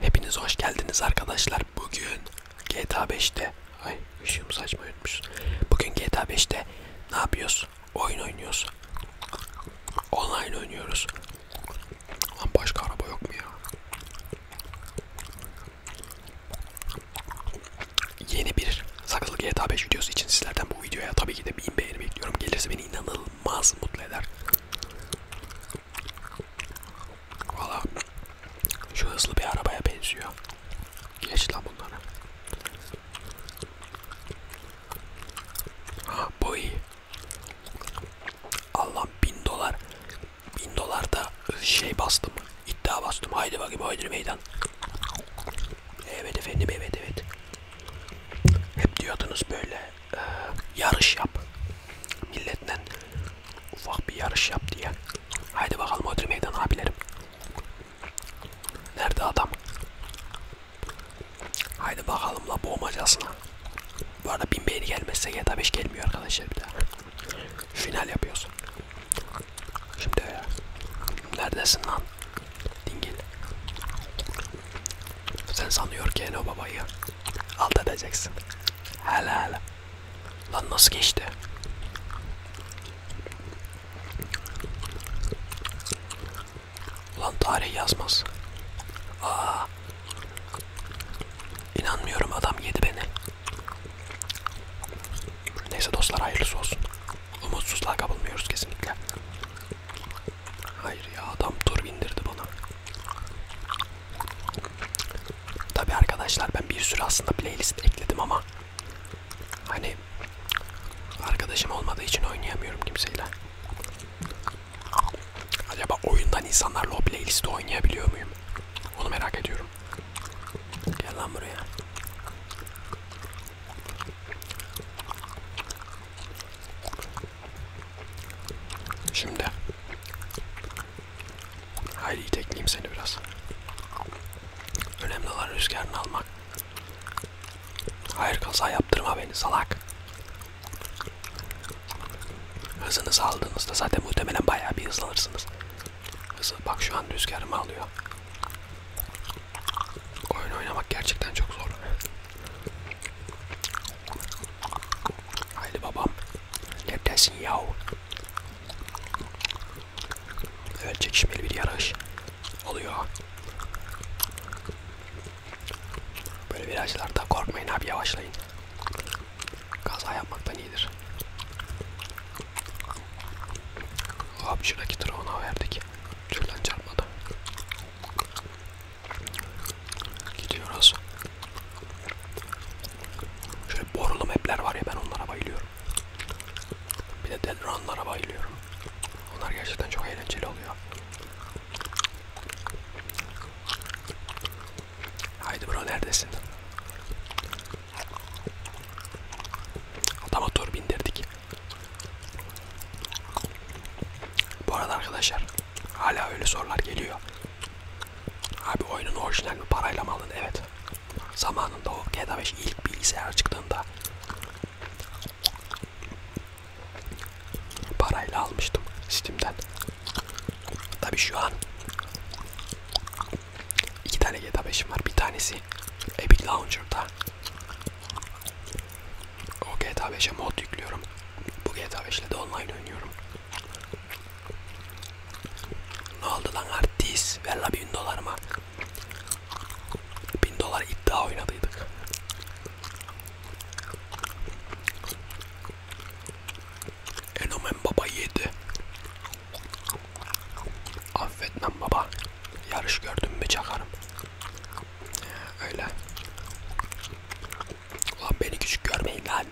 Hepiniz hoş geldiniz arkadaşlar. Bugün GTA 5'te ay ışığım saçma yutmuş. Bugün GTA 5'te ne yapıyoruz? Oyun oynuyoruz. Online oynuyoruz. Lan başka araba yok mu ya? Yeni bir sakızlı GTA 5 videosu için sizlerden bu videoya tabii ki de bin beğeni bekliyorum. Gelirse beni inanılmaz mutlu eder. Valla şu hızlı bir arabaya benziyor. Geç lan bunları. Ha bu iyi. Allah'ım bin dolar. Bin dolar da şey bastım. İddia bastım. Haydi bakayım haydi meydan. Evet efendim evet evet. Hep diyordunuz böyle e, yarış yap. Milletle ufak bir yarış yap diye. Haydi bakalım ödül meydan abilerim. Nerede adam? Haydi bakalım la boğmacasına. Bu arada bin beğeni gelmezse GTA 5 gelmiyor arkadaşlar bir daha. Final yapıyoruz. Şimdi neredesin lan? Dingil. Sen sanıyor ki Eno babayı alt edeceksin. Hala hala. Lan nasıl geçti? Ulan tarih yazmaz. Aa. İnanmıyorum adam yedi beni. Neyse dostlar hayırlısı olsun. Umutsuzluğa kapılmıyoruz kesinlikle. Hayır ya adam tur bindirdi bana. Tabi arkadaşlar ben bir sürü aslında playlist ekledim ama hani arkadaşım olmadığı için oynayamıyorum kimseyle. Acaba oyundan insanlarla o playlisti oynayabiliyor muyum? Onu merak ediyorum. Gel lan buraya. Şimdi. Haydi itekleyeyim seni biraz. Önemli olan rüzgarını almak. Hayır kaza yaptırma beni salak. Hızınızı aldığınızda zaten muhtemelen bayağı bir hızlanırsınız. Hızı bak şu an rüzgarımı alıyor. Oyun oynamak gerçekten çok zor. Haydi babam. Leptesin yahu. Evet çekişmeli bir yarış oluyor. Böyle virajlarda korkmayın abi yavaşlayın. Kaza yapmaktan iyidir. Abi şuradaki turu ona verdik. Türden çarpmadı. Gidiyoruz. Şöyle borulu mapler var ya ben onlara bayılıyorum. Bir de Dead Run'lara bayılıyorum. Onlar gerçekten çok eğlenceli oluyor. Haydi bro neredesin? Adama tur bindirdik. Bu arada arkadaşlar hala öyle sorular geliyor. Abi oyunun orijinal bir parayla mı aldın? Evet. Zamanında o GTA 5 ilk bilgisayar çıktığında parayla almıştım Steam'den. Tabi şu an iki tane GTA 5'im var. Bir tanesi Epic Launcher'da. O GTA 5'e mod yüklüyorum. Bu GTA 5 ile de online oynuyorum. Ne oldu lan artist? Ver la bin dolar mı? Bin dolar iddia oynadıydık. Enomen baba yedi. Affetmem baba. Yarış gördüm mü çakarım. Öyle. Ulan beni küçük görmeyin lan.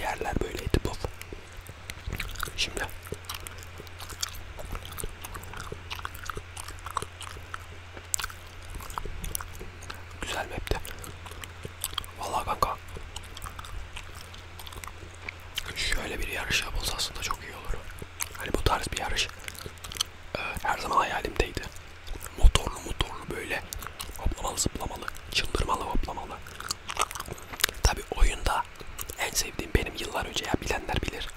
Yerler böyleydi bu. Şimdi. Güzel map'te. Vallahi kanka. Şöyle bir yarış yapılsa aslında çok iyi olur. Hani bu tarz bir yarış e, her zaman hayalimdeydi. Motorlu motorlu böyle hoplamalı zıplamalı, çıldırmalı hoplamalı. Tabi oyunda en sevdiğim benim yıllar önce ya bilenler bilir.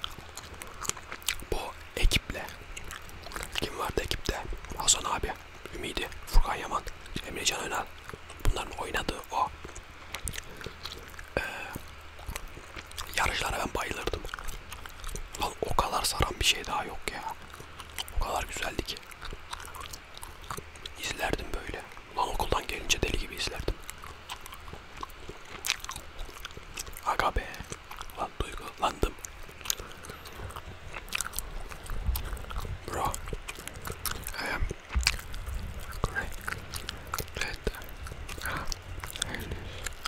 Bu ekiple kim vardı ekipte? Hasan abi, Ümidi, Furkan Yaman, Emre Can Önal. Bunların oynadığı o ee, yarışlara ben bayılırdım. Lan o kadar saran bir şey daha yok ya. O kadar güzeldi ki. İzlerdim böyle. Lan okuldan gelince deli gibi izlerdim. Aga be. Lan duygulandım. Bro. I am great. Great. Ah.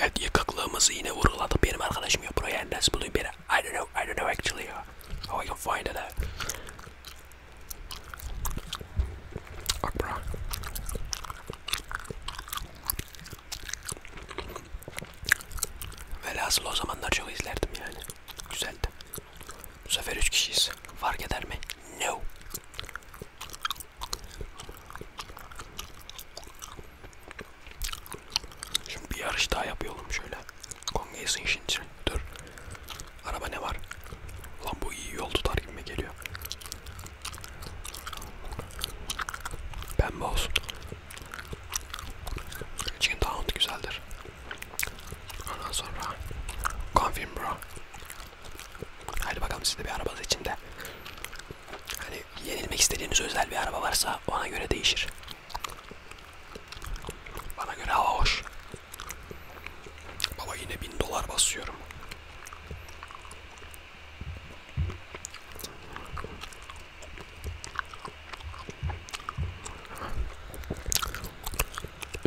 Evet yıkıklığımızı yine vurguladı. Benim arkadaşım yok buraya nasıl buluyor beni? I don't know, I don't know actually how I can find it out. Bak bura. Velhasıl o zamanlar çok izlerdim yani. Güzeldi. Bu sefer 3 kişiyiz. Fark eder mi? No. Şimdi bir yarış daha yapıyorum şöyle. Kongeyesin şimdi. Dur. Araba ne var? Lan bu iyi yol tutar gibi geliyor. Pembe olsun. Chicken Town güzeldir. Ondan sonra Confirm bro. Haydi bakalım siz de bir arabanız içinde. Hani yenilmek istediğiniz özel bir araba varsa ona göre değişir. Bana göre hava hoş. Baba yine bin dolar basıyorum.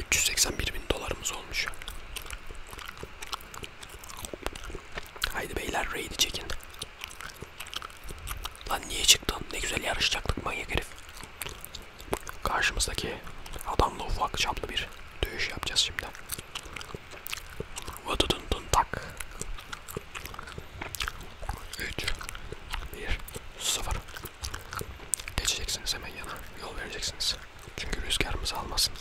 381 bin dolarımız olmuş. Haydi beyler raid'i çekin. Lan niye çıktın? Ne güzel yarışacaktık manyak herif. Karşımızdaki adamla ufak çaplı bir dövüş yapacağız şimdi. Vıdıdın dın tak. 3 1 0 Geçeceksiniz hemen yana. Yol vereceksiniz. Çünkü rüzgarımızı almasın.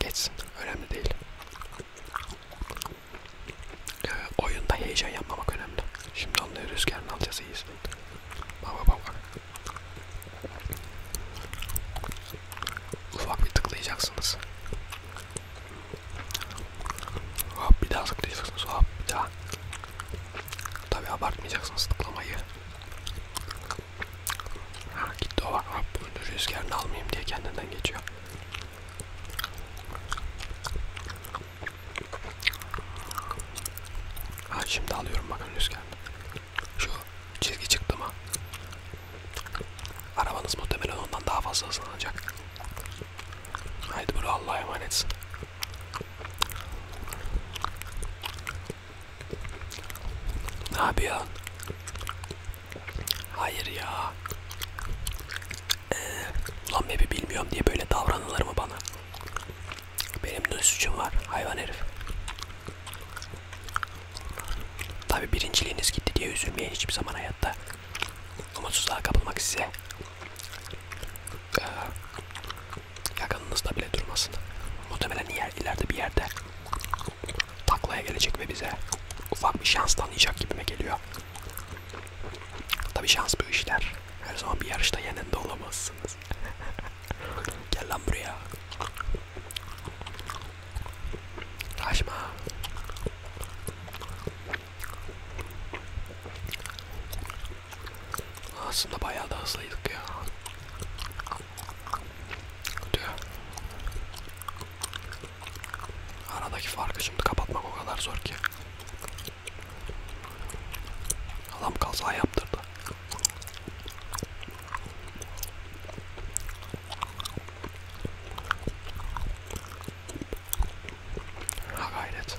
Geçsin. Önemli değil. Ee, oyunda heyecan yapmamak önemli. Şimdi onları rüzgarını alacağız iyi izleyin. Bak bak bak. Ufak bir tıklayacaksınız. Hop bir daha tıklayacaksınız. Hop bir daha. Tabi abartmayacaksınız tıklamayı. Ha gitti o bak bak bunu rüzgarını almayayım diye kendinden geçiyor. Ha şimdi alıyorum bakın rüzgarını. Şu çizgi çıktı mı? Arabanız muhtemelen ondan daha fazla hızlanacak. Haydi bunu Allah'a emanetsin. Ne yapıyorsun? Hayır ya. Ee, lan bebi bilmiyorum diye böyle davranılır mı bana? Benim de suçum var hayvan herif. Tabi birinciliğiniz gitti diye üzülmeyin hiçbir zaman hayatta. Umutsuzluğa kapılmak size. Ee, yakınınızda bile durmasın. Muhtemelen yer, ileride bir yerde taklaya gelecek ve bize ufak bir şans tanıyacak gibime geliyor. Tabi şans bu işler. Her zaman bir yarışta yenende olamazsınız. Gel lan buraya. Kaçma. Aslında bayağı da hızlıydık ya. Diyor. Aradaki farkı şimdi kapatmak o kadar zor ki. Adam kaza yaptırdı. Ha gayret.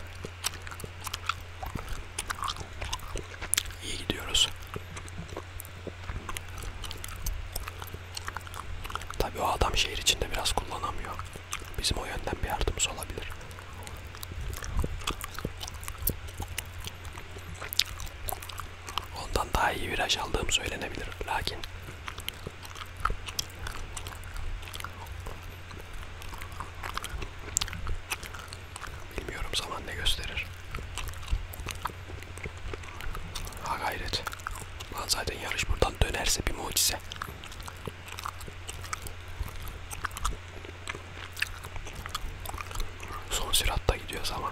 İyi gidiyoruz. Tabii o adam şehir içinde biraz kullanamıyor. Bizim o yönden bir yardımımız olabilir. Ondan daha iyi viraj aldığım söylenebilir. Lakin Bilmiyorum zaman ne gösterir. Ha gayret. Lan zaten yarış buradan dönerse bir mucize. Son süratta gidiyoruz ama.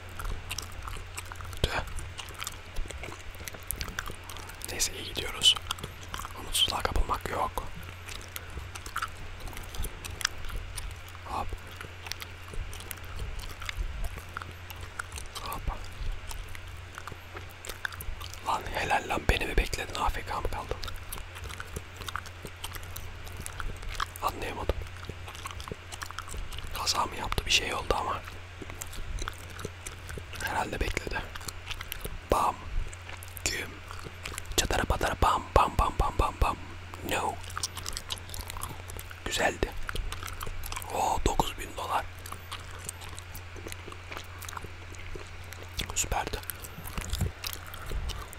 Tüh. Neyse iyi gidiyoruz. Umutsuzluğa kapılmak yok. Hop. Hop. Lan helal lan beni mi bekledin AFK mı kaldın? Anlayamadım. Kaza mı yaptı bir şey oldu ama. Herhalde bekledi. Bam. Güm. Çatara patara bam bam bam bam bam bam. No. Güzeldi. Oo 9000 dolar. Süperdi.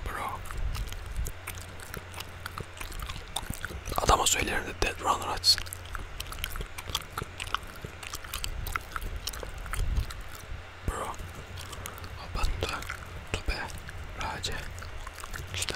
Bro. Adama söylerim de Dead Runner açsın. Bro. Abanda. Tübe. Race. İşte.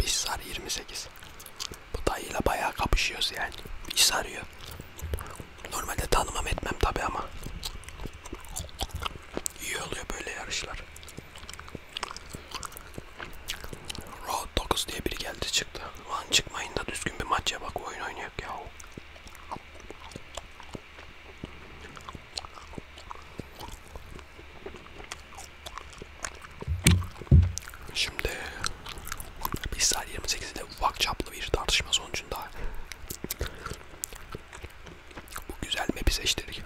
Bizsar 28. Bu dayıyla bayağı kapışıyoruz yani. İş sarıyor. Normalde tanımam etmem tabi ama. İyi oluyor böyle yarışlar. Road 9 diye biri geldi çıktı. Lan çıkmayın da düzgün bir maç ya bak oyun oynuyor ya. Şimdi İsrail 28 ile ufak çaplı bir tartışma sonucunda bu güzel map'i seçtirdik.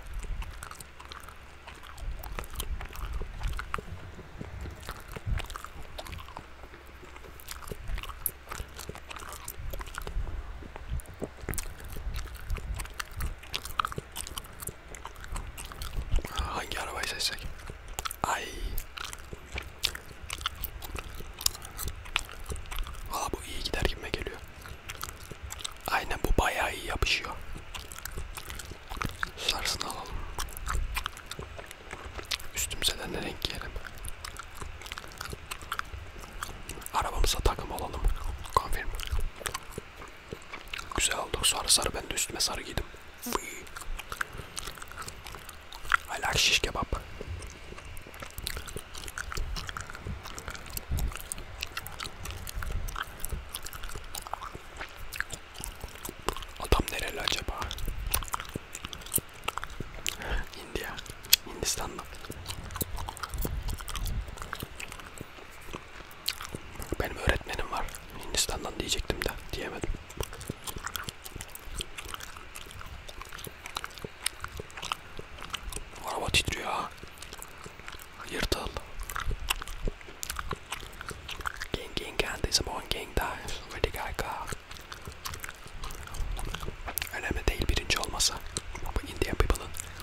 Hangi arabayı seçsek? Ay. Valla bu iyi gider gibime geliyor. Aynen bu bayağı iyi yapışıyor. Sarısını alalım. Üstümüze de ne renk giyelim? Arabamıza takım alalım. Konfirm. Güzel oldu. Sonra sarı ben de üstüme sarı giydim. I like şiş kebap. Adam nereli acaba? India. Hindistan'da. Benim öğretmenim var. Hindistan'dan diyecektim de diyemedim. Araba titriyor ha. Yırtıl. Gang gang gang. This one gang dives. Ready guy car. Önemli değil birinci olmasa. Indian people'ın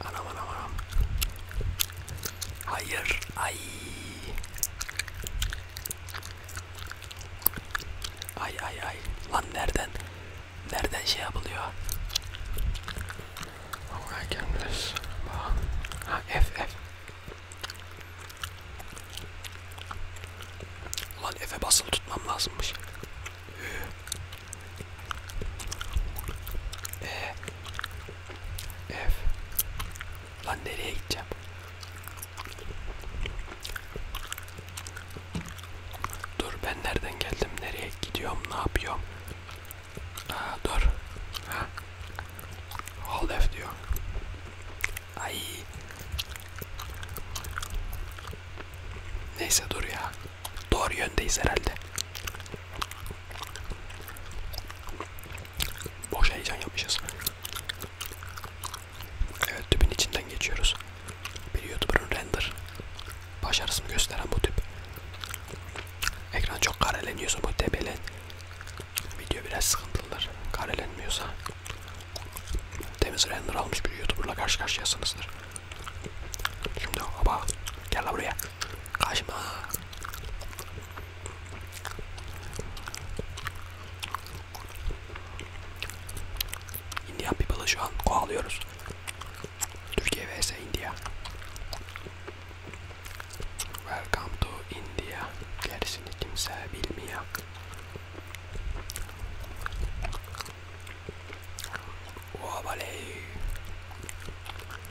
Anam anam anam. Hayır. Ay. Ay ay ay. Lan nereden? Nereden şey yapılıyor? Oraya oh, gelmez. Ha F F. Lan F'e basılı tutmam lazımmış. E F Lan nereye gideceğim? Dur ben nereden geldim? Nereye gidiyorum? Ne yapıyorum? Aa, dur. Ha. Hold F diyor. Ay. Neyse dur ya. Doğru yöndeyiz herhalde. Boş heyecan yapmışız. Evet tüpün içinden geçiyoruz. Bir youtuber'ın render başarısını gösteren bu tüp. Ekran çok kareleniyorsa bu tepelen. Video biraz sıkıntılıdır. Karelenmiyorsa temiz render almış bir youtuber'la karşı karşıyasınızdır. Şimdi baba gel la buraya. Kaçma. India people'ı şu an kovalıyoruz. Türkiye vs India. Welcome to India. Gerisini kimse bilmiyor. Ovaley.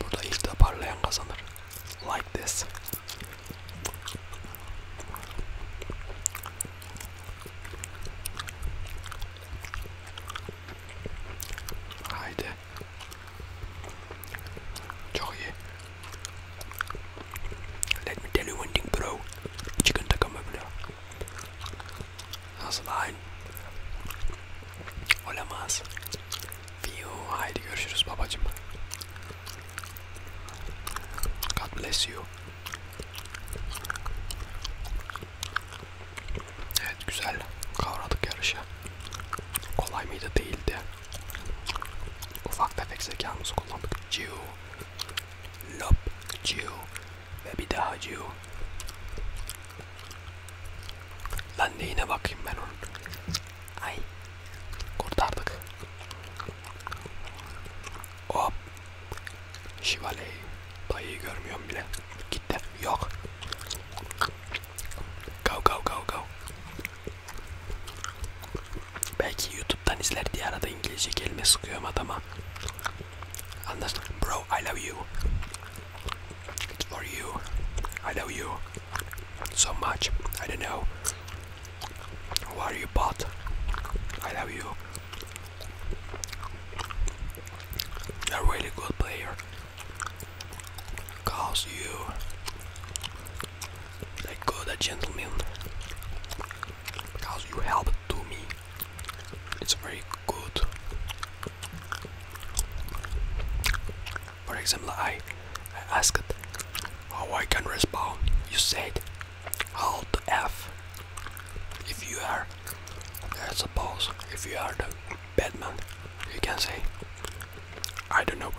Burada ilk toparlayan kazanır. Like this. Haydi. Çok iyi. Let me tell you one thing bro. Chicken takama bro. Nasıl hain? Olamaz. Fiyo, haydi görüşürüz babacım. God bless you. Evet güzel kavradık yarışı. Kolay mıydı değildi. Ufak tefek zekamızı kullandık. Ciu. Lop. Ciu. Ve bir daha Gio. Lan neyine bakayım ben onun. Ay. Kurtardık. Hop. Şivaley. Dayıyı görmüyorum bile. Gitti. Yok. Go go go go. Belki YouTube'dan izler diye arada İngilizce kelime sıkıyorum adama. Anlaştık. Bro I love you. or you. I love you so much. I don't know what you bought. I love you. A really good player. Cause you a good gentleman. Because you helped to me. It's very good. For example, I, I asked how I can respond. You said hold F if you are, I suppose, if you are the Batman, you can say, I don't know,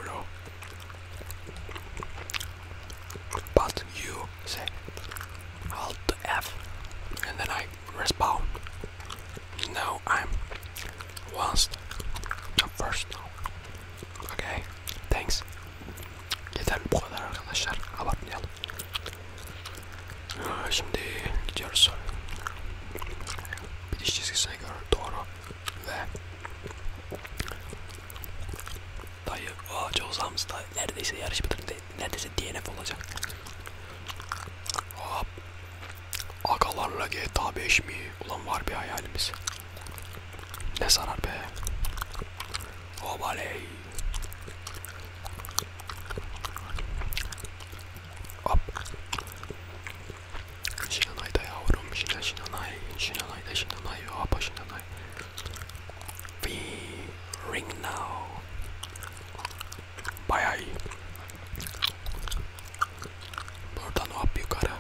But you say hold F and then I respond no, I'm whilst I'm first now. Okay, thanks. Yeter bu kadar arkadaşlar. Abartmayalım. Ee, şimdi gidiyoruz. Bitiş çizgisine göre doğru ve neredeyse DNF olacak. Hop. Agalarla GTA 5 mi? Ulan var bir hayalimiz. Ne sarar be. Obaley. Hop. Şinanay da yavrum. Şinan, şinanay. Şinanay da şinanay. Hopa şinanay. Be ring now. Bayağı iyi. Buradan hop yukarı.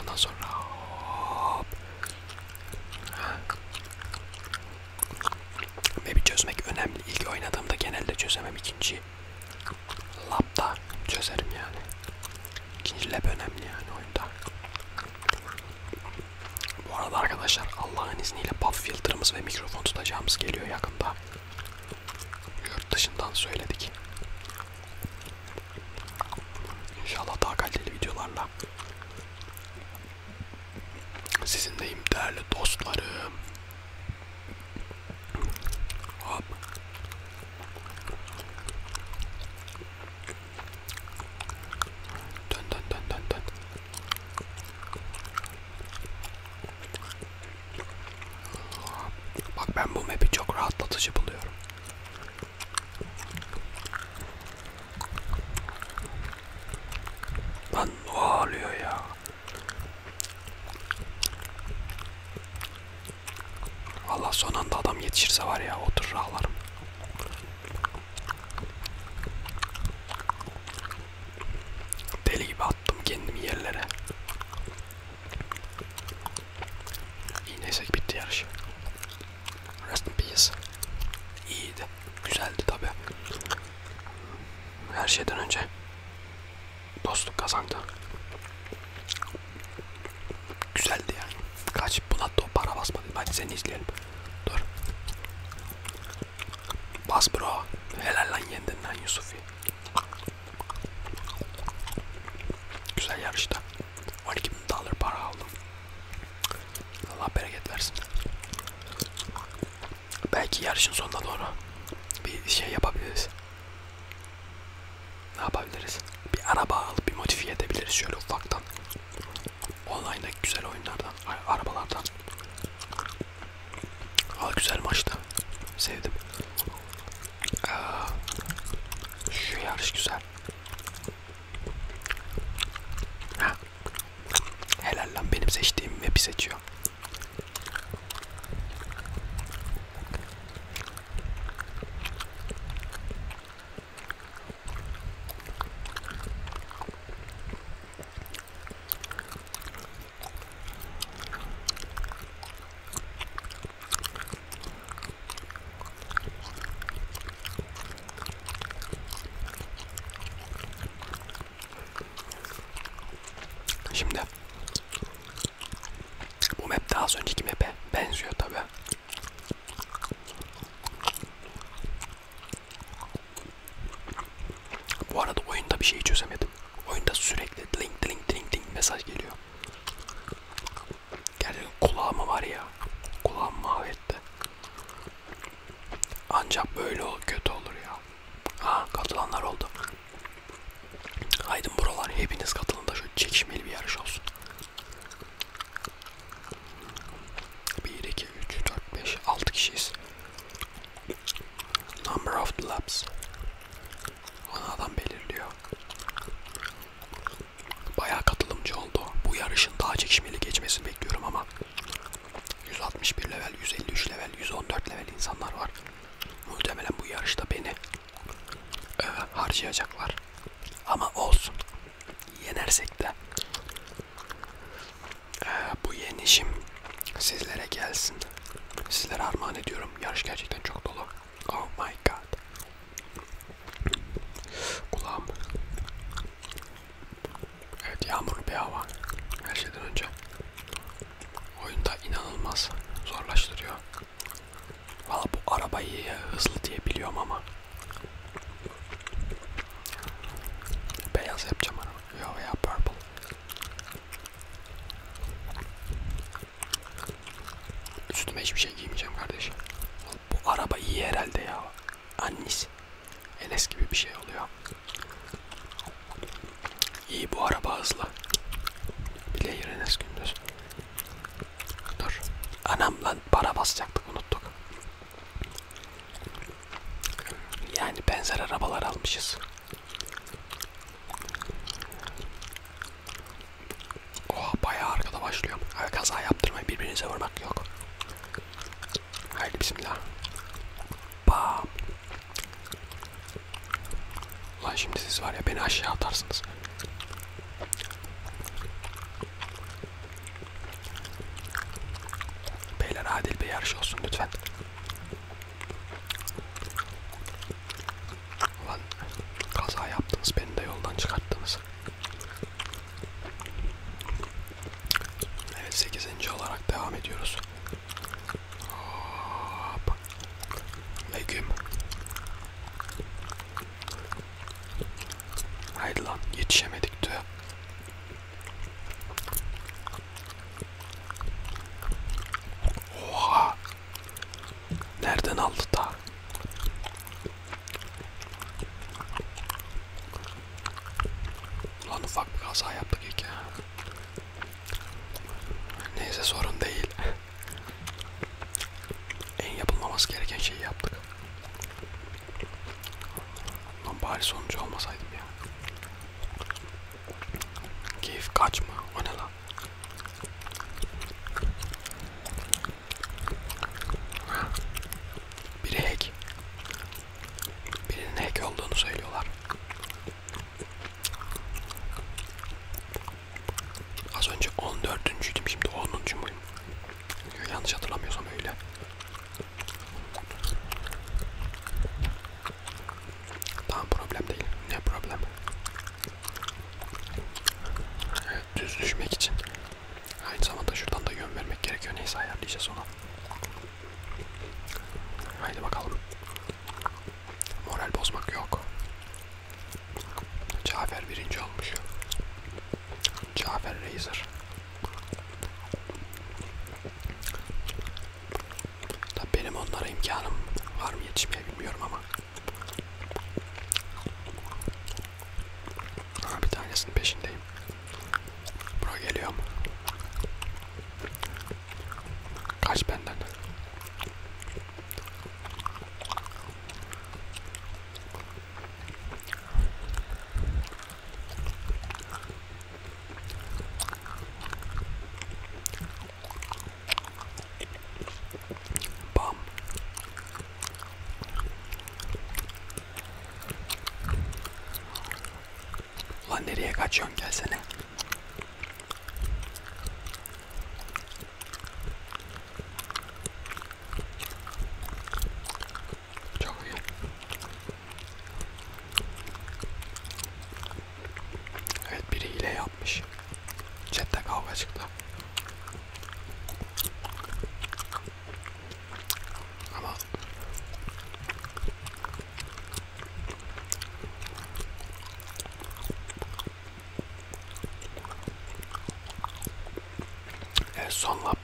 Ondan sonra hop. Map'i çözmek önemli. İlk oynadığımda genelde çözemem. ikinci lapta çözerim yani. İkinci lap önemli yani oyunda. Bu arada arkadaşlar Allah'ın izniyle puff filterımız ve mikrofon tutacağımız geliyor yakında. Yurt dışından söyledik. İnşallah daha kaliteli videolarla sizinleyim değerli dostlarım. Hop. Dön dön dön dön dön. Bak ben bu map'i çok rahatlatıcı buluyorum. Lan ne oluyor ya? Allah son anda adam yetişirse var ya oturur ağlarım. Deli gibi attım kendimi yerlere. İyi neyse bitti yarış. Rest in peace. İyiydi. Güzeldi tabi. Her şeyden önce dostluk kazandı. Güzeldi yani. Kaç buna top para basmadı. Hadi seni izleyelim. Dur. Bas bro. Helal lan yendin lan Yusuf'i. Güzel yarışta. 12 bin dolar para aldım. Allah bereket versin. Belki yarışın sonuna doğru bir şey yapabiliriz. Ne yapabiliriz? Bir araba alıp bir modifiye edebiliriz şöyle ufaktan. Online'daki güzel oyunlardan, arabalardan Aa, güzel maçtı. Sevdim. Aa, şu yarış güzel. Heh. Helal lan benim seçtiğim map'i seçiyor. Şimdi bu map daha az önceki map'e benziyor tabi. Bu arada oyunda bir şey çözemedim. Oyunda sürekli link link link link mesaj geliyor. Gerçekten kulağıma var ya. Kulağım mahvetti. Ancak böyle kötü olur ya. Ha katılanlar oldu. Haydın buralar hepiniz katılın da şu çekişmeli bir yarış olsun. 1, 2, 3, 4, 5, 6 kişiyiz. Number of laps. Onu adam belirliyor. Bayağı katılımcı oldu. Bu yarışın daha çekişmeli geçmesini bekliyorum ama 161 level, 153 level, 114 level insanlar var. Muhtemelen bu yarışta beni e, harcayacaklar. Ama olsun. Yenersek de ee, bu yenişim sizlere gelsin. Sizlere armağan ediyorum. Yarış gerçekten çok dolu. Oh my god. Kulağım. Evet yağmurlu bir hava. Her şeyden önce. Oyunda inanılmaz zorlaştırıyor. Valla bu arabayı hızlı diye biliyorum ama. Beyaz yapacağım araba. Yo veya purple. Üstüme hiçbir şey giymeyeceğim kardeşim. Bu araba iyi herhalde ya. Annis. Enes gibi bir şey oluyor. İyi bu araba hızlı. Bileyir Enes Gündüz. Dur. Anam lan para basacaktık unuttuk. Yani benzer arabalar almışız. Oha bayağı arkada başlıyor. Abi kaza yaptırmayın birbirinize vurmak yok. Haydi bismillah. Bam. Lan şimdi siz var ya beni aşağı atarsınız. Beyler adil bir yarış olsun lütfen. Ulan kaza yaptınız beni de yoldan çıkarttınız. Evet 8. olarak devam ediyoruz. Hop. Legüm. Haydi lan yetişemedik diyor. Oha. Nereden aldı da? Ulan ufak bir kaza yaptık iki. Neyse sorun değil. en yapılmaması gereken şeyi yaptık. Lan bari sonucu olmasaydım ya. Keyif kaçma. O ne lan? Biri hack. Birinin hack olduğunu söylüyorlar. Az önce 14.'üydüm şimdi 10. muyum? Yanlış hatırlamıyorsam öyle. Tamam problem değil. Ne problem? Evet, düz düşmek için. Aynı zamanda şuradan da yön vermek gerekiyor. Neyse ayarlayacağız onu. Haydi bakalım. Moral bozmak yok. Cafer birinci olmuş. Cafer Razer. Da benim onlara imkanım var mı yetişmeye bilmiyorum ama. Ha, bir tanesinin peşindeyim. Bura geliyorum. Kaç benden. Bam. Lan nereye kaçıyorsun gelsene. Çok iyi. Evet biri hile yapmış. Chatte kavga çıktı. Ama Evet son lap.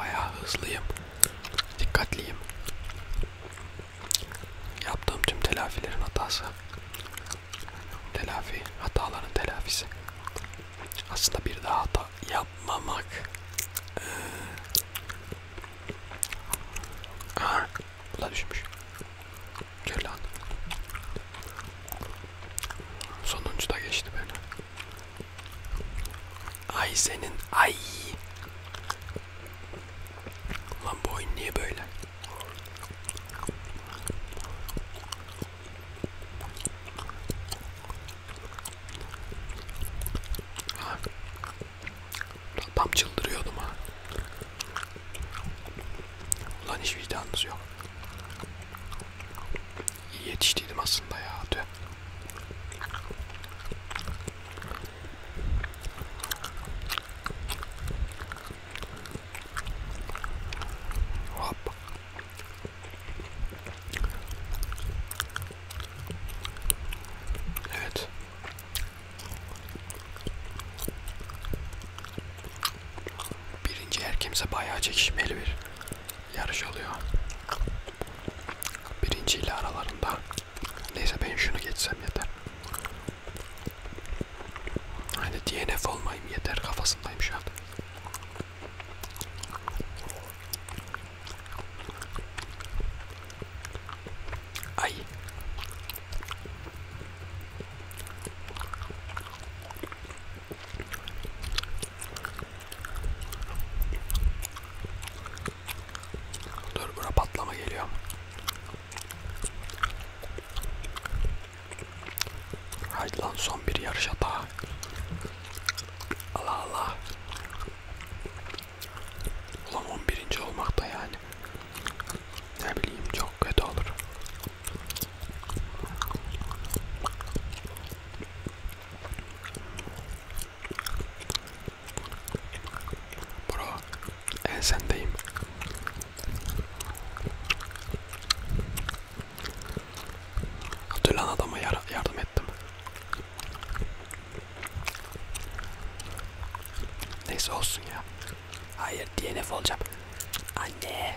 Bayağı hızlıyım. Dikkatliyim. Yaptığım tüm telafilerin hatası. Telafi, hataların telafisi. Aslında bir daha hata yapmamak. Ee, Aa, bu da düşmüş. Gör lan. Sonuncu da geçti beni. Ay senin ay. Lan bu oyun niye böyle? Ha. Tam çıldırıyordum ha. Ulan hiç vicdanınız yok. İyi yetiştiydim aslında ya. Dün. Hop. Evet. Birinci erkemize bayağı çekişmeli bir yarış oluyor. Birinci ile aralarında. Neyse ben şunu geçsem yeter. Hani DNF olmayayım yeter kafasındayım şu an. Ay. Dur buna patlama geliyor. Haydi lan son bir yarış hata. Allah Allah. Ulan 11. olmak da yani. Ne bileyim çok kötü olur. Bro, ensendeyim. Dölen adama yar yardım ettim. Neyse olsun ya. Hayır DNF olacağım. Anne.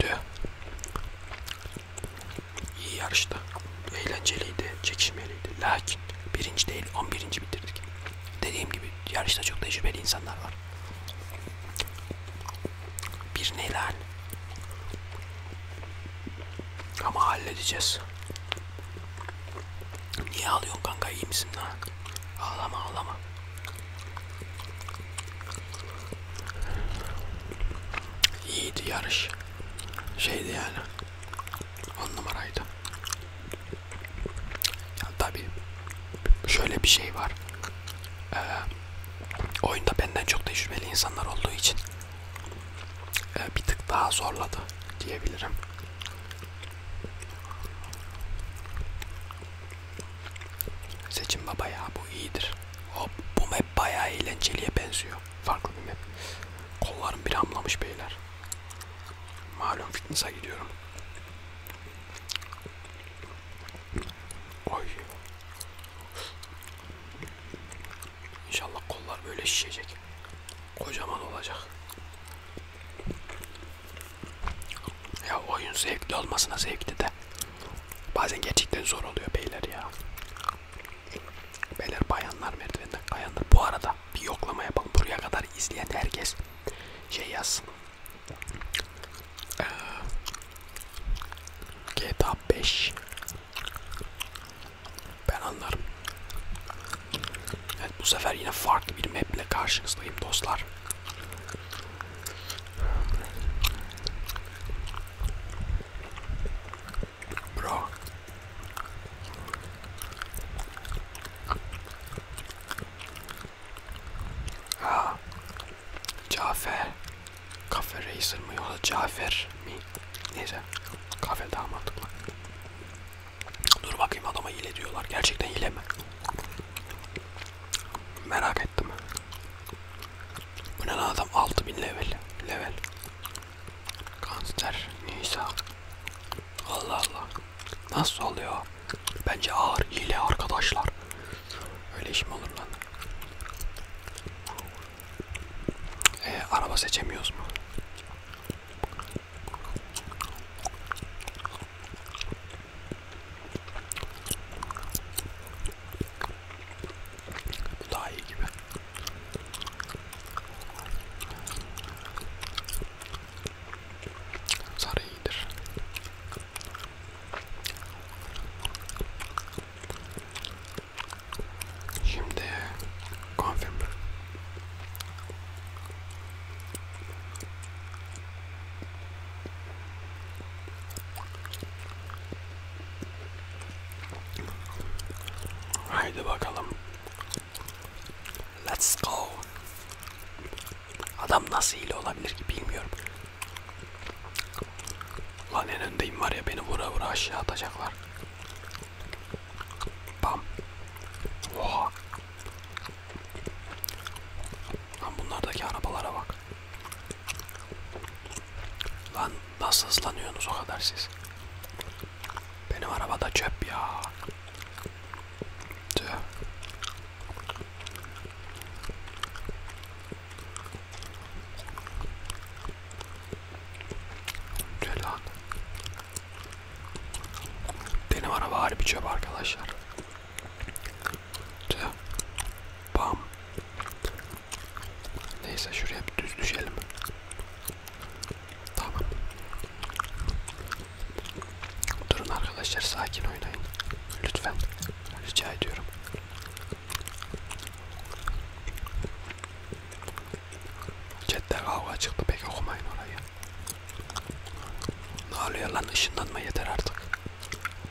Dö. İyi yarıştı. Eğlenceliydi, çekişmeliydi. Lakin birinci değil, on birinci bitirdik. Dediğim gibi yarışta çok tecrübeli insanlar var. Bir neler. Ama halledeceğiz. Niye ağlıyorsun kanka iyi misin lan? Ağlama ağlama. İyiydi yarış. Şeydi yani. On numaraydı. Ya tabii şöyle bir şey var. Ee, oyunda benden çok tecrübeli insanlar olduğu için e, bir tık daha zorladı diyebilirim. Seçim baba ya bu iyidir. Hop bu map bayağı eğlenceliye benziyor. Farklı bir map. Kollarım bir hamlamış beyler. Malum fitness'a gidiyorum. Oy. İnşallah kollar böyle şişecek. Kocaman olacak. Ya oyun zevkli olmasına zevkli de bazen gerçekten zor oluyor beyler ya. Beyler bayanlar merdivenden kayanlar. Bu arada bir yoklama yapalım. Buraya kadar izleyen herkes şey yazsın. Ee, GTA 5 ben anlarım. Evet bu sefer yine farklı bir maple karşınızdayım dostlar. Bro. Ha. Cafer. Kafe Racer mı yoksa Cafer mi? Neyse. Kafe daha mantıklı. Dur bakayım adama hile diyorlar. Gerçekten hile mi? Merak ettim. Bu ne lan adam 6000 level. Level. Kanser. Nisa. Allah Allah. Nasıl oluyor? Bence ağır hile arkadaşlar. Öyle iş mi olur lan? Ee, araba seçemiyoruz mu? Bu daha iyi gibi. Sarı iyidir. Şimdi confirm. Haydi bakalım. Let's go. Adam nasıl hile olabilir ki bilmiyorum. Lan en öndeyim var ya beni vura vura aşağı atacaklar. Bam. Oha. Lan bunlardaki arabalara bak. Lan nasıl hızlanıyorsunuz o kadar siz? Benim arabada çöp ya. Tüh. Tüh lan. Benim araba harbi çöp arkadaşlar. Bam. Neyse şuraya bir düz düşelim. Tamam. Durun arkadaşlar sakin oynayın. Lütfen. Rica ediyorum. Chatte kavga çıktı pek okumayın orayı. Ne oluyor lan ışınlanma yeter artık.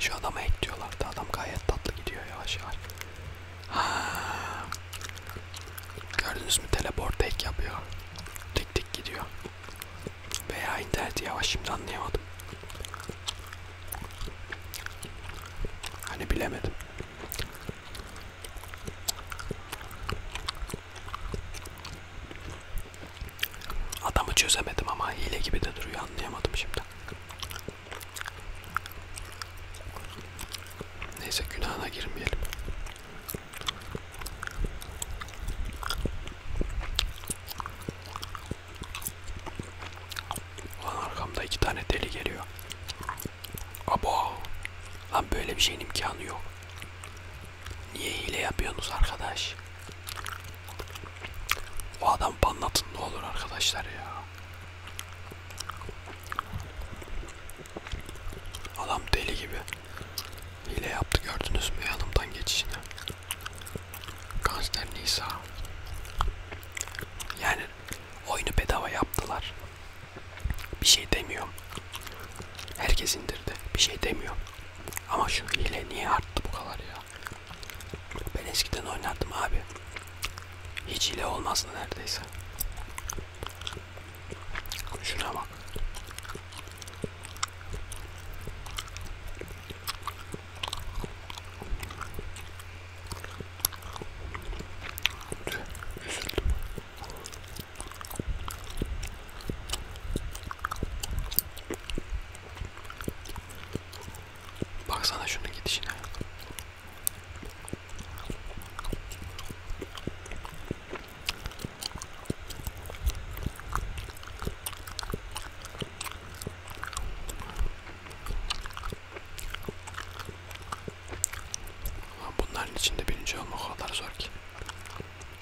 Şu adama ekliyorlar da adam gayet tatlı gidiyor yavaş yavaş. Ha. Gördünüz mü teleport ek yapıyor. Tek tek gidiyor. Veya interneti yavaş şimdi anlayamadım. Hani bilemedim. Adamı çözemedim ama hile gibi de duruyor anlayamadım şimdi. Neyse günahına girmeyelim. Ulan arkamda iki tane deli geliyor. Abo. Lan böyle bir şeyin imkanı yok. Niye hile yapıyorsunuz arkadaş? O adam banlatın ne olur arkadaşlar ya. Adam deli gibi. Hile yaptı gördünüz mü yanımdan geçişini? Kanser Nisa. Yani oyunu bedava yaptılar. Bir şey demiyorum. Herkes indirdi. Bir şey demiyorum. Ama şu hile niye arttı bu kadar ya? Ben eskiden oynardım abi. Hiç hile olmazdı neredeyse. Şuna bak. Baksana şunun gidişine. Bunların içinde birinci olmak o kadar zor ki.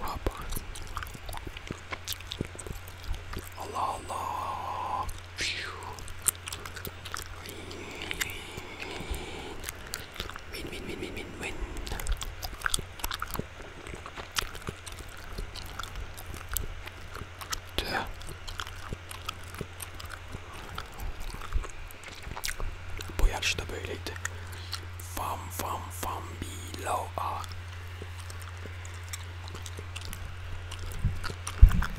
Rabbi. Allah Allah. Phew. Win, win, win, win, win, win. Bu yarışta böyleydi. Fam fam fam below a.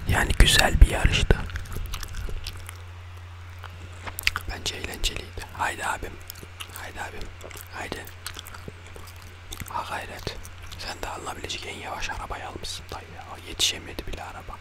Yani güzel bir yarıştı. Bence eğlenceliydi. Haydi abim. Haydi abim. Haydi. Ha gayret. Sen de alınabilecek en yavaş arabayı almışsın dayı ya. Yetişemedi bile araba.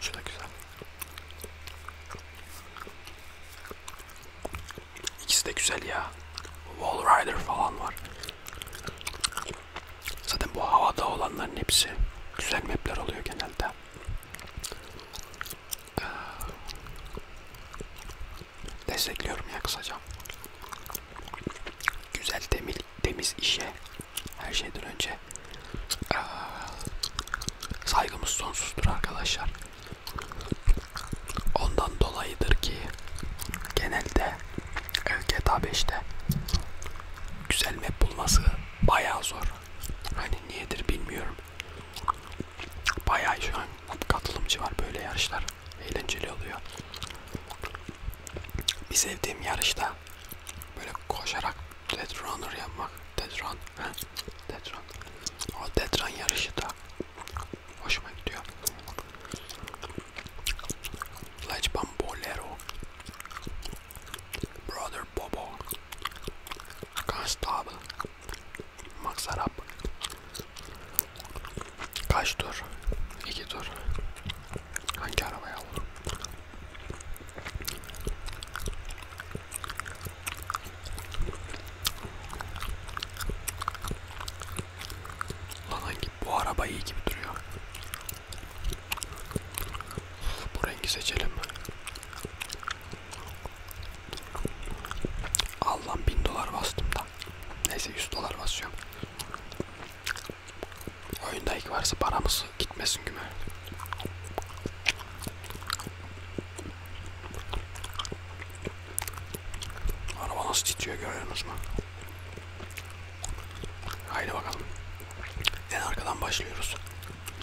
Şu da güzel. İkisi de güzel ya. Wall Rider falan var. Zaten bu havada olanların hepsi güzel mapler oluyor genelde. Ee, destekliyorum ya kısaca. Güzel temil temiz işe her şeyden önce ee, saygımız sonsuzdur arkadaşlar. Ondan dolayıdır ki genelde GTA 5'te güzel map bulması bayağı zor. Hani niyedir bilmiyorum. Bayağı şu an katılımcı var böyle yarışlar. Eğlenceli oluyor bir sevdiğim yarışta böyle koşarak dead runner yapmak, dead run, he? dead run. O dead run yarışı da hoşuma gidiyor. Lajban Bolero, Brother Bobo, Constable, Max Arap. Kaç tur? İki tur. Hangi arabaya alırım? Lan hangi bu araba iyi gibi duruyor. Bu rengi seçelim. Allah'ım bin dolar bastım da. Neyse 100 dolar basıyorum. Oyunda ilk varsa paramız gitmesin güme. Araba nasıl titriyor görüyorsunuz mu? Haydi bakalım. En arkadan başlıyoruz.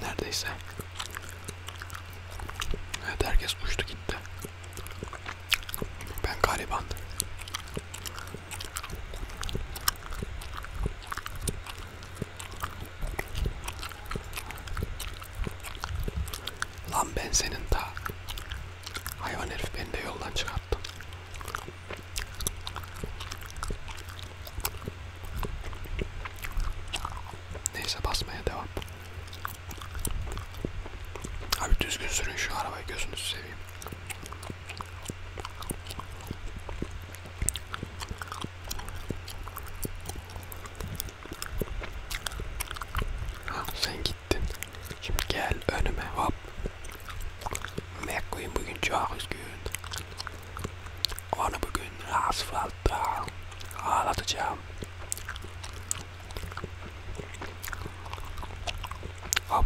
Neredeyse. Evet herkes uçtu gitti. Ben galiba Lan ben senin ta hayvan herif beni de yoldan çıkarttın. Neyse basmaya devam. Abi düzgün sürün şu arabayı gözünüzü seveyim. Ha, sen gittin. Şimdi gel önüme hop. McQueen bugün çok üzgün. Onu bugün asfaltta ağlatacağım. Hop.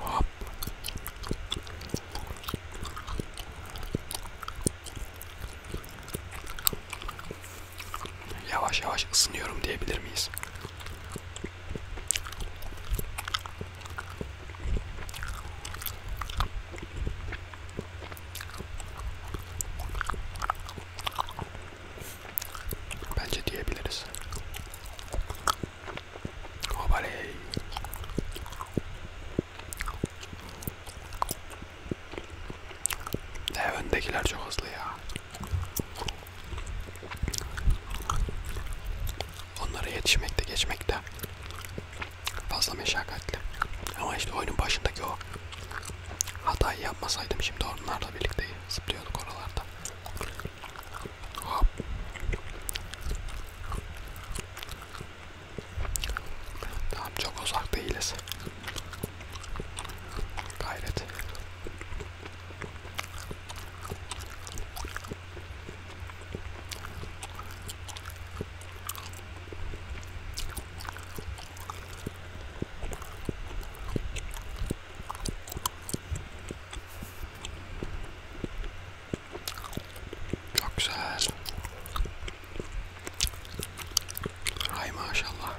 Hop. Yavaş yavaş ısınıyorum diyebilir miyiz? Bence diyebiliriz. Obaley. De öndekiler çok hızlı ya. Onlara yetişmekte geçmekte fazla meşakkatli. Ama işte oyunun başındaki o hatayı yapmasaydım şimdi onlarla birlikte zıplıyorduk oralarda. Tamam çok uzak değiliz. Gayret. Çok güzel. Ay maşallah.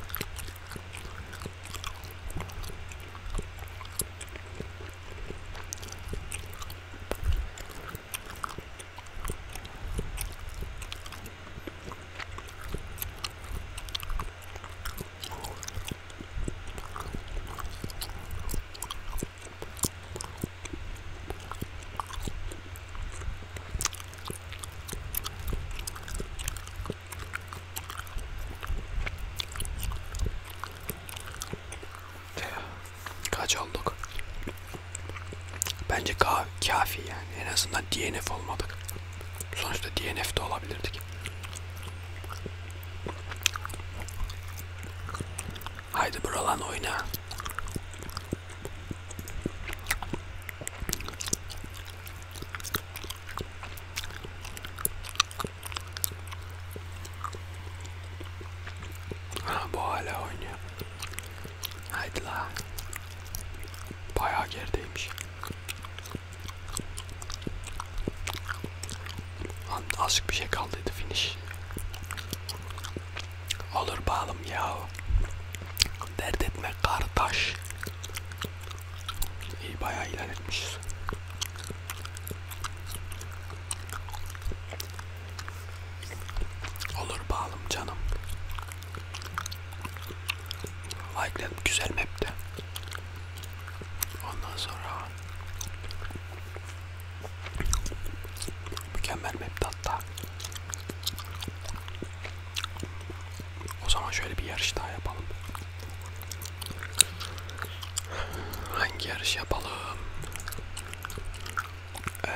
Kaç olduk? Bence ka kafi yani. En azından DNF olmadık. Sonuçta DNF de olabilirdik. Haydi buralan oyna. Ha bu hala oynuyor. Haydi la. Bayağı gerideymiş. Azıcık bir şey kaldıydı finish. Olur bağlım ya. Dert etme kardeş. İyi bayağı ilerletmişiz. Olur bağlım canım. Like'ledim güzel map'ti. Ondan sonra Mükemmel map hatta. O zaman şöyle bir yarış daha yapalım. Hangi yarış yapalım? Ee,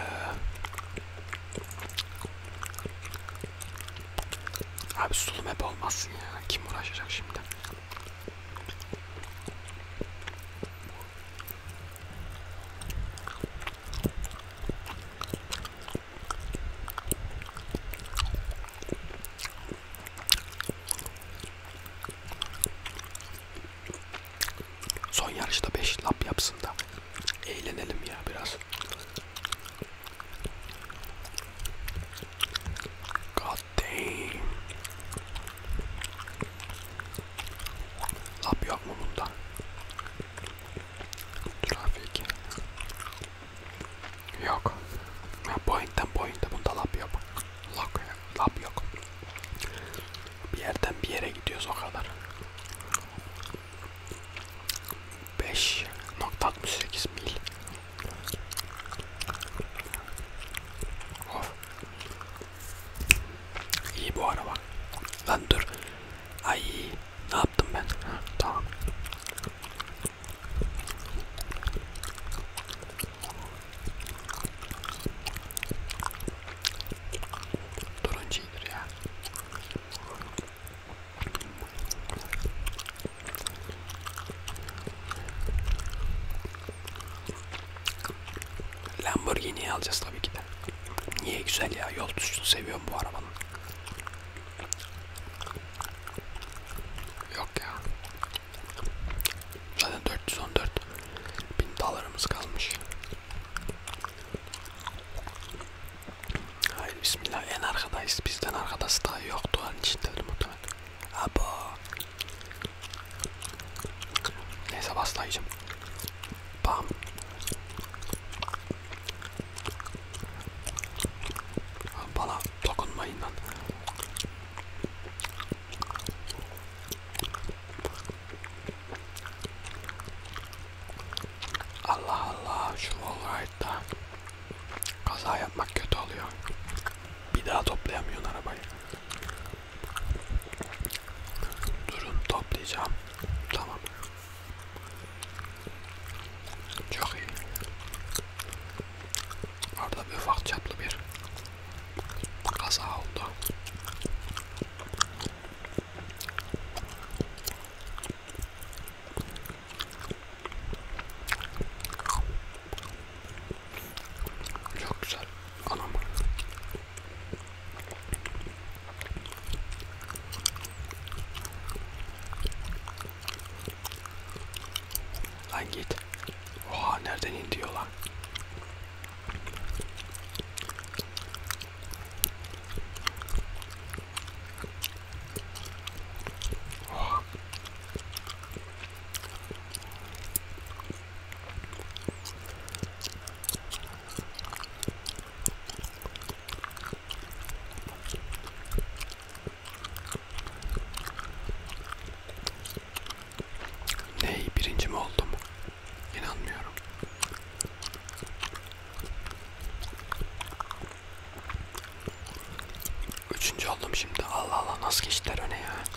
abi sulu map olmazsın ya. Kim uğraşacak şimdi? Son yarışta 5 lap yapsın da eğlenelim ya biraz. God damn. Lap yok mu bunda? Trafik. Yok. Ya point'ten point'e bunda lap yok. Lap, lap yok. Bir yerden bir yere gidiyoruz o kadar. 5.68 mil. Of. İyi bu araba. Lan dur. Ay ne yaptım ben? Ha, tamam. Turuncu iyidir ya. Lamborghini'yi alacağız tabii ki de. Niye güzel ya? Yol tutuşunu seviyorum bu arabanın. Yok ya. Zaten 414 bin dolarımız kalmış. Hayır bismillah en arkadayız. Bizden arkadası daha yoktu an içindedir muhtemelen. Abo. Neyse baslayacağım. Bam. Bana dokunmayın lan. Allah Allah şu Wallride'da kaza yapmak kötü oluyor. Bir daha toplayamıyorsun arabayı. Durun toplayacağım. Tamam. Çok iyi. Orada bir ufak çaplı bir kaza oldu. Çok güzel. Anam. Lan git. Oha nereden indi lan? Oha. Ney birinci mi oldum? İnanmıyorum. Üçüncü oldum şimdi. Allah Allah nasıl geçtiler öne ya?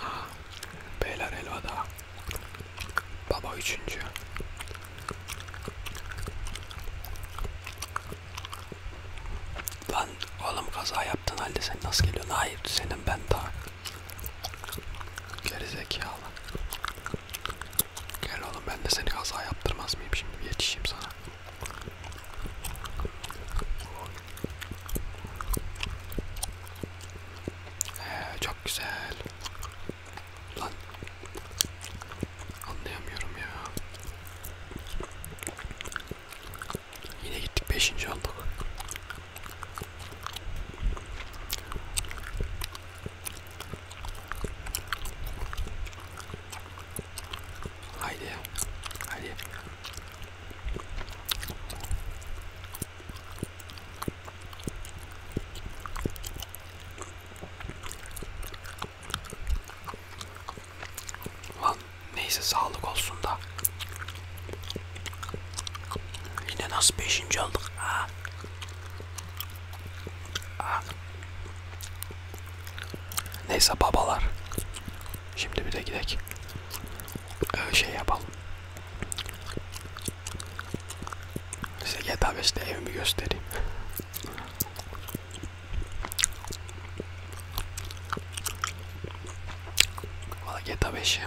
Aa, beyler elvada. Baba üçüncü. Lan oğlum kaza yaptın halde sen nasıl geliyorsun? Hayır senin ben daha. Gerizekalı. Gel oğlum ben de seni kaza yaptırmaz mıyım şimdi? Yetişeyim sana. Ee, çok güzel. Lan. Anlayamıyorum ya. Yine gittik 5. olduk. Haydi. Haydi. Lan neyse sağlık olsun da. Yine nasıl beşinci olduk ha? Neyse babalar. Şimdi bir de gidelim. Ee, şey yapalım. Size GTA 5'te evimi göstereyim. Valla GTA 5'i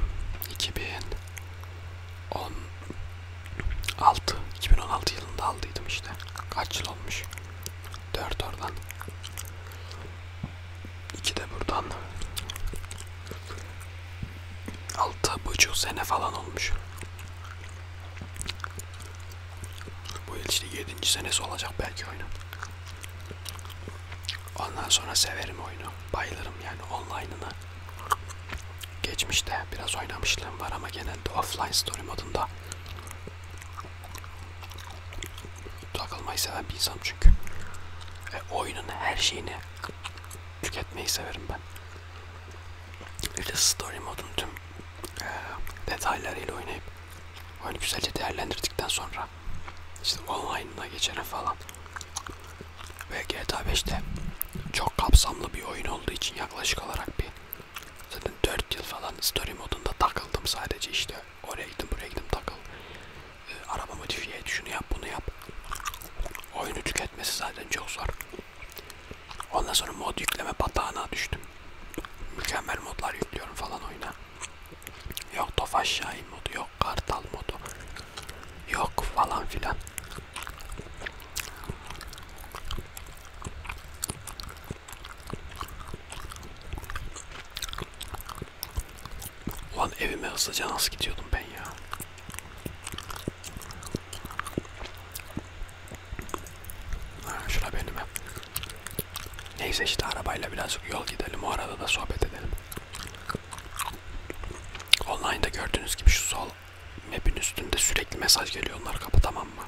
2016 2016 yılında aldıydım işte. Kaç yıl olmuş? 4 oradan. İki de buradan. Altı buçuk sene falan olmuş. Bu yıl işte yedinci senesi olacak belki oyunun. Ondan sonra severim oyunu. Bayılırım yani online'ına. Geçmişte biraz oynamışlığım var ama genelde offline story modunda Takılmayı seven bir insanım çünkü. Ve oyunun her şeyini tüketmeyi severim ben. Bir de story modun tüm e, detaylarıyla oynayıp oyunu güzelce değerlendirdikten sonra işte online'ına geçene falan ve GTA 5'te çok kapsamlı bir oyun olduğu için yaklaşık olarak bir zaten 4 yıl falan story modunda takıldım sadece işte Oraya gittim buraya gittim takıl. E, ee, arabamı çiftliğe et şunu yap bunu yap. Oyunu tüketmesi zaten çok zor. Ondan sonra mod yükleme batağına düştüm. Mükemmel modlar yüklüyorum falan oyuna. Yok Tofaş Şahin modu, yok Kartal modu. Yok falan filan. Ulan evime hızlıca nasıl gidiyordum ben ya? Ha, şura benim ev. Neyse işte arabayla birazcık yol gidelim. O arada da sohbet edelim. Online'da gördüğünüz gibi şu sol map'in üstünde sürekli mesaj geliyor. Onları kapatamam mı?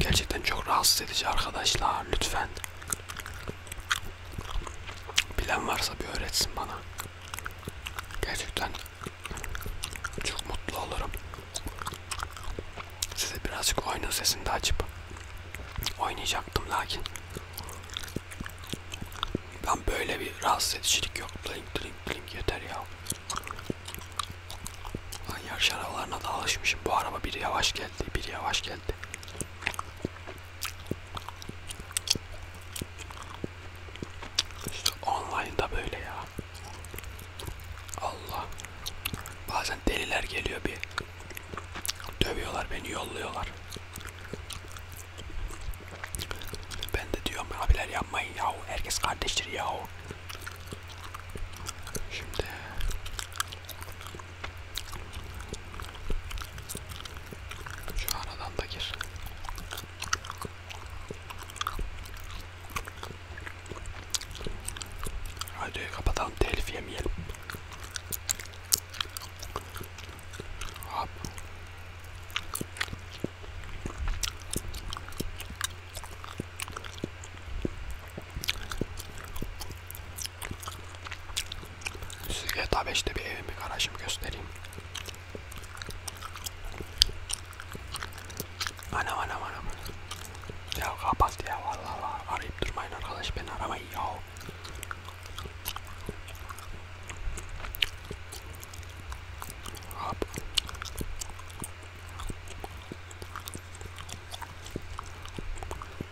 Gerçekten çok rahatsız edici arkadaşlar. Lütfen Bilen varsa bir öğretsin bana. Gerçekten çok mutlu olurum. Size birazcık oyunun sesini de açıp oynayacaktım lakin ben böyle bir rahatsız edicilik yok. Blink blink blink yeter ya. Ben yarış arabalarına da alışmışım. Bu araba bir yavaş geldi, bir yavaş geldi. İşte online'da böyle ya. Allah. Bazen deliler geliyor bir. Dövüyorlar beni, yolluyorlar. Ben de diyorum abiler yapmayın yahu. Herkes kardeştir yahu. Şimdi şu aradan da gir. Radyoyu kapatalım telif yemeyelim. Hop. Size GTA 5'te bir evimi garajımı göstereyim. Anam anam anam. Ya kapat ya vallahi arayıp durmayın arkadaş beni aramayın ya. Hop. Çok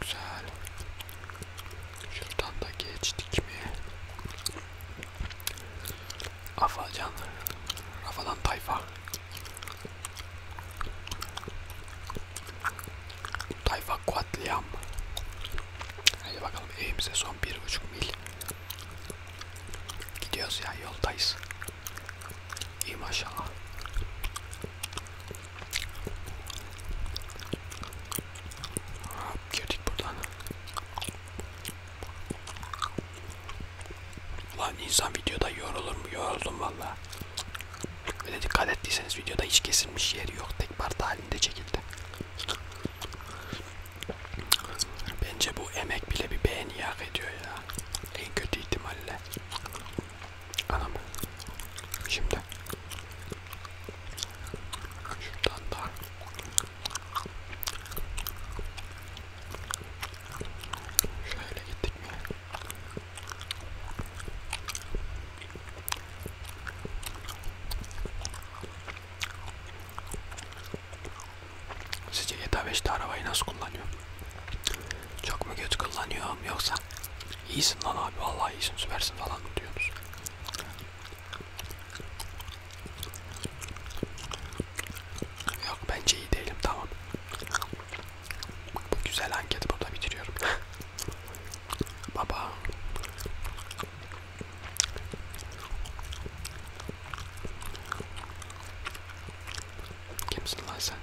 güzel. Şuradan da geçtik mi? Afacan. Rafadan tayfa. Tayfa katliam. Hadi bakalım evimize son bir buçuk mil. Gidiyoruz ya yoldayız. İyi maşallah. Hop, girdik buradan. Lan insan videoda yorulur mu? Yoruldum valla. Böyle dikkat ettiyseniz videoda hiç kesilmiş yeri yok. Tek parça halinde çekildi. Bence bu emek bile bir beğeni hak ediyor ya. En kötü ihtimalle. Anam. Şimdi. Şuradan da. Şöyle gittik mi? Sizce GTA 5'te arabayı nasıl kullanıyor? Çok mu kötü kullanıyorum yoksa iyisin lan abi vallahi iyisin süpersin falan mı diyorsunuz? Yok bence iyi değilim tamam. Bu güzel anketi burada bitiriyorum. Baba. Kimsin lan sen?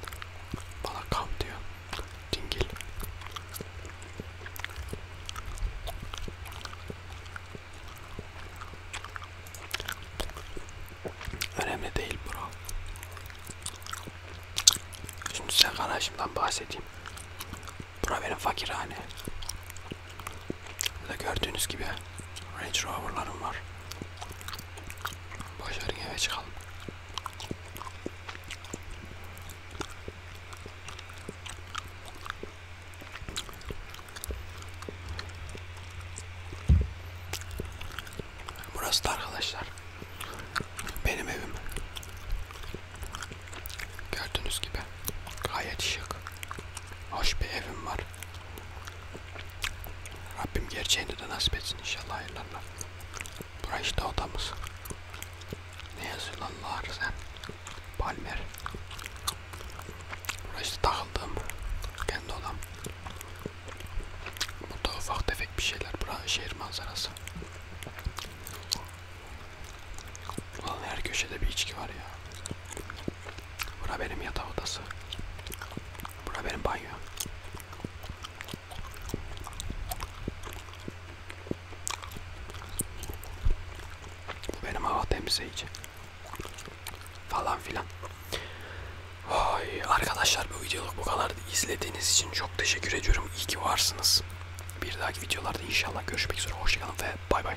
Bana kav diyor. Dingil. Önemli değil bro. Şimdi size kardeşimden bahsedeyim. Bura benim fakirhane. Burada gördüğünüz gibi Range Rover'larım var. Başarın eve çıkalım. Burası da arkadaşlar. Benim evim. Gördüğünüz gibi gayet şık. Hoş bir evim var. Rabbim gerçeğini de nasip etsin inşallah hayırlarla. Burası işte odamız. Ne yazıyor lan sen? Palmer. Burası işte takıldım. Kendi odam. Burada ufak tefek bir şeyler. Burası şehir manzarası. Ulan her köşede bir içki var ya. Bura benim yatak odası. Bura benim banyo. Bu benim hava temizleyici. Falan filan. Oy, arkadaşlar bu videoluk bu kadar. izlediğiniz için çok teşekkür ediyorum. İyi ki varsınız. Bir dahaki videolarda inşallah görüşmek üzere. Hoşçakalın ve bay bay.